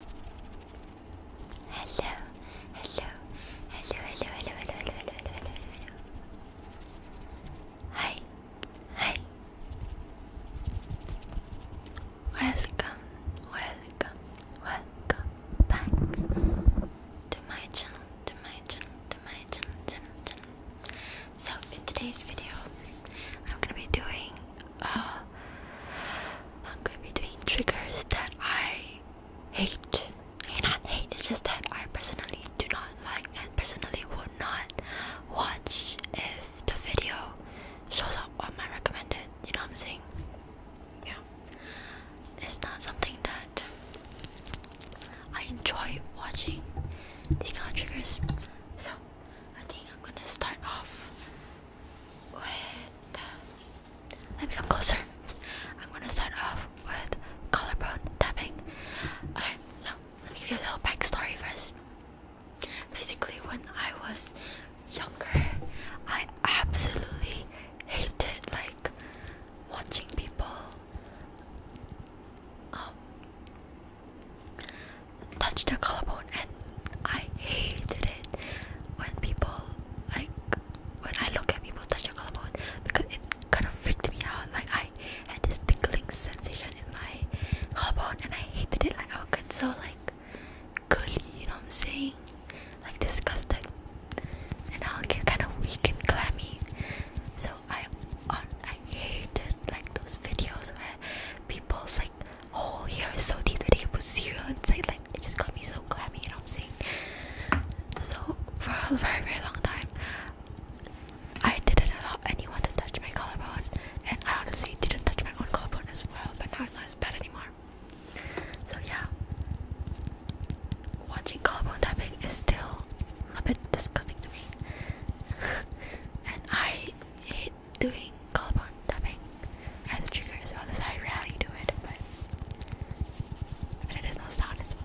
Hello, hello, hello, hello, hello, hello, hello, hello, hello, hello. Hi, hi. Welcome, welcome, welcome back to my channel, to my channel, to my channel, channel, channel. So in today's video, I'm gonna be doing uh, be doing triggers that I hate. I not hate, it's just that I personally do not like and personally would not watch if the video shows up on my recommended. You know what I'm saying? Yeah. It's not something that I enjoy watching these kind of triggers. So I think I'm gonna start off let me come closer. I'm gonna start off with collarbone tapping. Okay, so let me give you a little backstory first. Basically, when I was younger, I absolutely hated like watching people um touch their collarbone and I hated it when people like when I look at people touching a collarbone because it kind of freaked me out. Like I had this tingling sensation in my collarbone and I hated it. Like I would get so like curly, you know what I'm saying? Like disgusted. And I'll get kind of weak and clammy. So I I hated like those videos where people's like Whole hole is so deep that it can put cereal inside. Like it just got me so clammy, you know what I'm saying? So for a very very long time, I didn't allow anyone to touch my collarbone, and I honestly didn't touch my own collarbone as well. But now it's not as bad anymore. So yeah, watching collarbone tapping is still a bit disgusting to me, and I hate doing call upon tapping as a trigger this. well. That's how I rarely do it, but, it does not sound as well.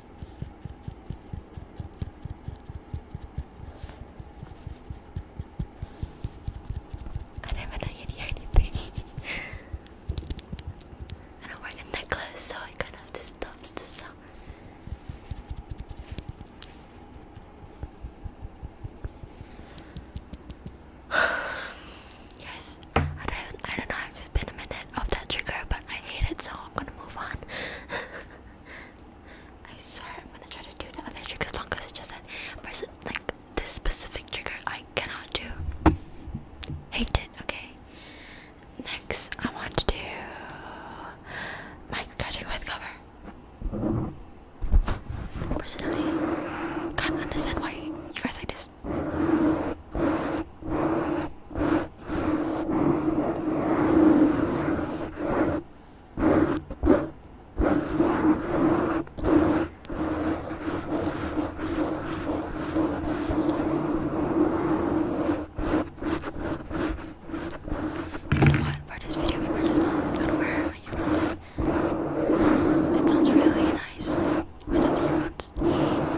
I never know you hear anything. I don't work in that so I kind of disturbs the sound. Guys, I don't, I don't know if it's been a minute of that trigger, but I hate it, so I'm gonna move on. I swear I'm gonna try to do the other trigger as long as it's just that person, like this specific trigger I cannot do. Hate it, okay. Next I want to do mic scratching with cover. Personally, can't understand why you guys like this. You know what? For this video, we were just not gonna wear my earbuds. It sounds really nice without the earbuds.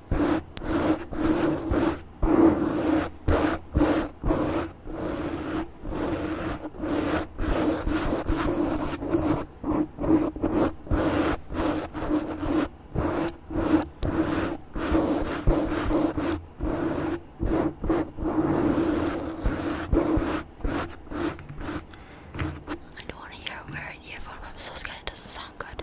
I don't want to hear it wearing earphone. I'm so scared it doesn't sound good.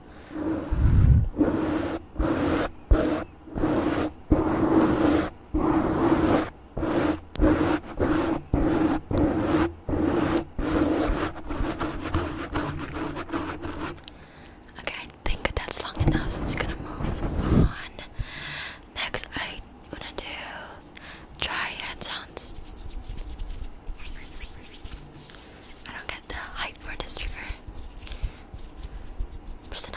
Okay, I think that's long enough. I'm just gonna move on. Next, I'm gonna do dry hand sounds. I don't get the hype for this trigger personally,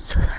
So sorry.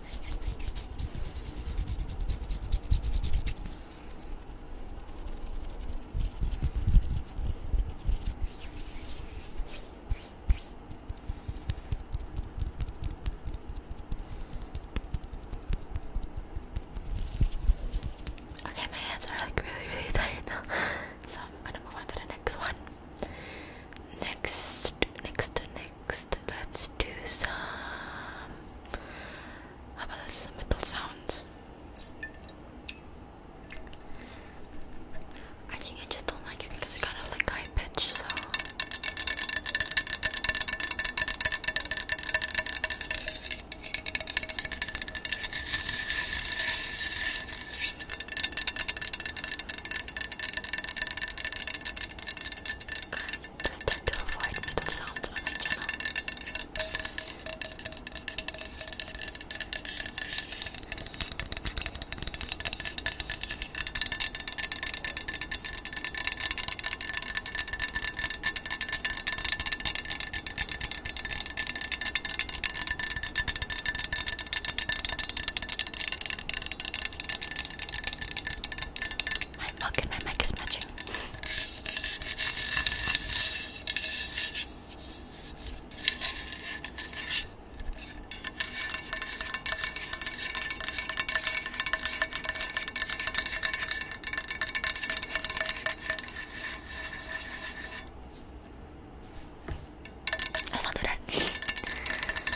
Okay, my hands are like really, really tired so I'm gonna move on to the next one. Next, next, next let's do some about some metal sounds I think I just don't like it because it's kind of like high pitch so I tend to avoid metal sounds on my channel. I I'm not gonna make as matching. That's not too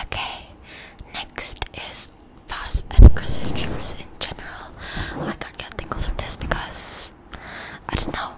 Okay, next is fast and aggressive triggers in general. I can't tingles from this because I don't know.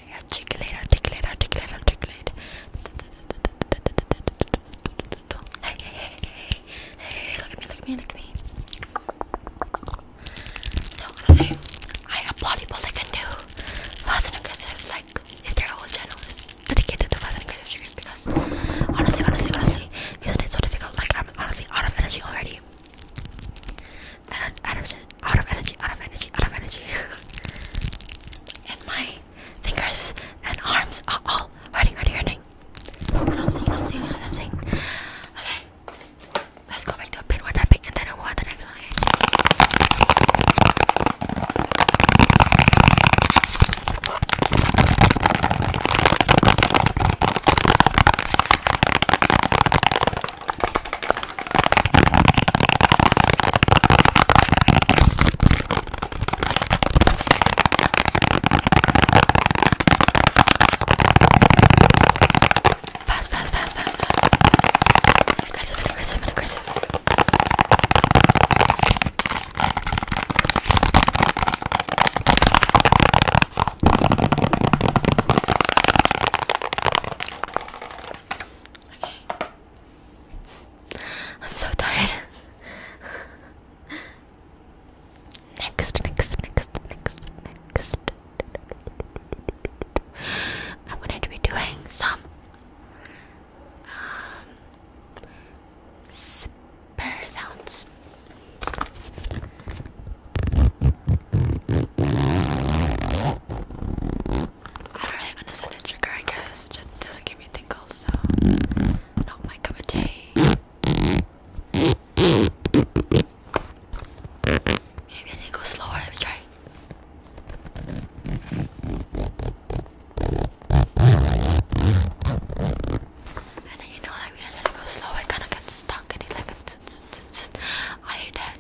Articulate, articulate, articulate, articulate. Hey, hey, hey, hey, hey, look at me, look at me, look at me. So, honestly, I applaud people that can do fast and aggressive, like, if their whole channel is dedicated to fast and aggressive triggers because, honestly, honestly, honestly, isn't it so difficult? Like, I'm honestly out of energy already out of out of energy, out of energy, out of energy. and my fingers and arms are all hurting, hurting, hurting. I'm saying? I'm saying? I'm saying? Okay, let's go back to a pin or tapping, and then I'll we the next one. Fast, fast, fast, fast, fast. Aggressive and aggressive and aggressive. Okay. I'm so tired. next, next, next, next, next. I'm going to be doing some um, spare I don't really understand this trigger, I guess. It just doesn't give me tingles, so not my cup of tea. Maybe I need to go slower, let me try. And then you know like when I let it go slow I kinda get stuck and it like I hate that.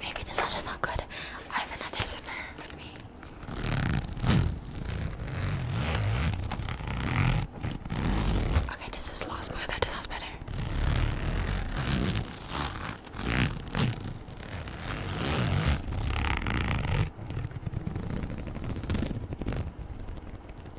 maybe this is not good. I have another zipper with me. Okay, this is the last one. That sounds better.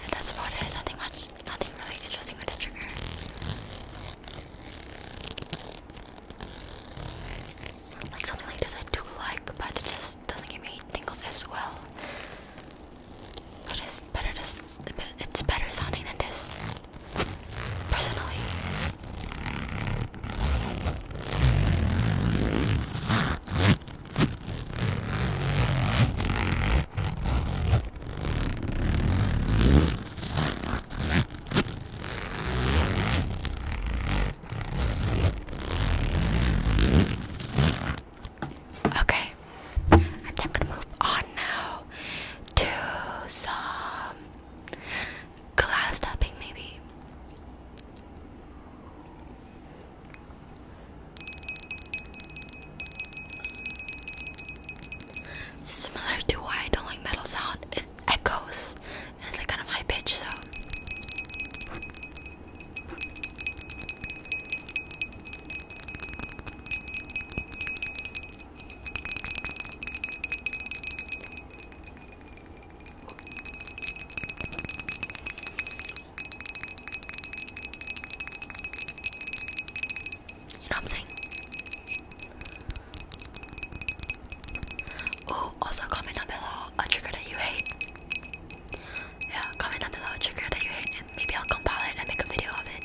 And that's about it. Nothing much, nothing really interesting with this trigger. Like something like this I do like, but it just doesn't give me tingles as well. But it's better this it's better sounding than this. Personally. Okay, I'm gonna move on now to some glass tapping, maybe. Similar to why I don't like metal sound echoes and it's like kind of high pitch, so you know what i Oh, also comment down below a trigger that you hate. Yeah, comment down below a trigger that you hate, and maybe I'll compile it and make a video of it.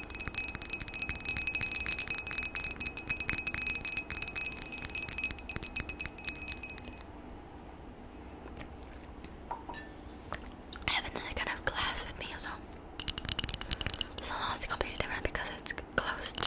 I have another kind of glass with me also. Salon is completely different because it's closed.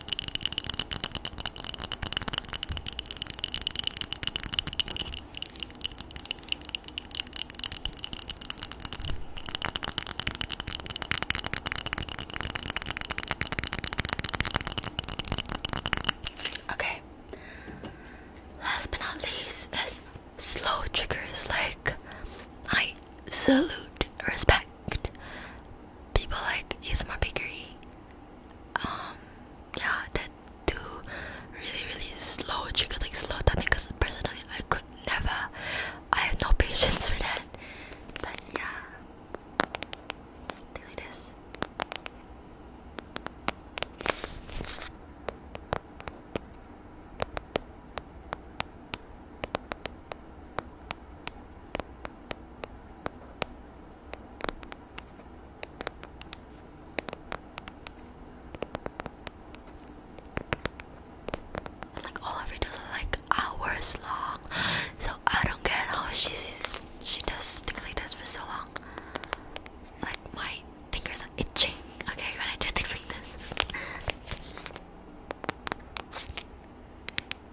Okay. Last but not least is slow triggers. Like I salute, respect people like Isma Bakery um yeah that do really really slow trigger like slow tapping because personally I could never I have no patience for that but yeah like this like all of it is like hours long. So I don't get how she she does things like this for so long. Like my fingers are itching. Okay, when I do things like this.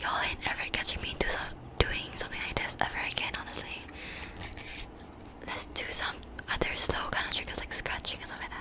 Y'all ain't ever catching me doing something like this ever again, honestly. Let's do some other slow kind of triggers like scratching or something like that.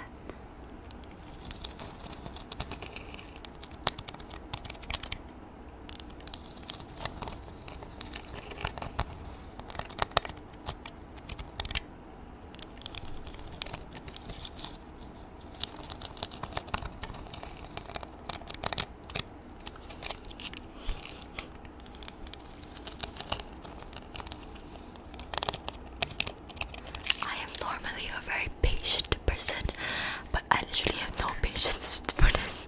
I am normally a very patient person, but I literally have no patience for this.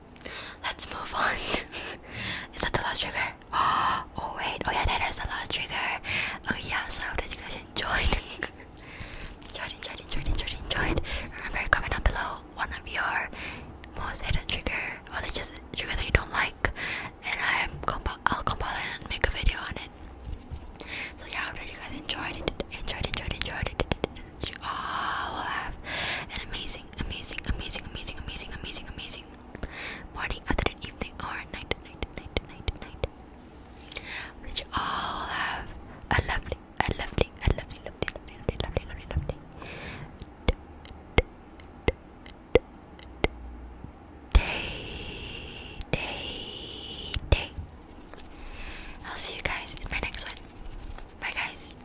Let's move on. is that the last trigger? Oh wait, oh yeah, that is the last trigger. Oh yeah, so I hope that you guys enjoyed. enjoyed, enjoyed, enjoyed, enjoyed, enjoyed. Remember, comment down below one of your most hated trigger, or the just trigger that you don't like, and I'm comp I'll compile it and make a video on it. So yeah, I hope that you guys enjoyed it, enjoyed, enjoyed, enjoyed it. You all will have an amazing, amazing, amazing, amazing, amazing, amazing, amazing morning, afternoon, evening, or night, night, night, night, night. That you all have a lovely, a lovely, a lovely, lovely, lovely, lovely, lovely, lovely, day, day, day. I'll see you guys in my next one. Bye, guys.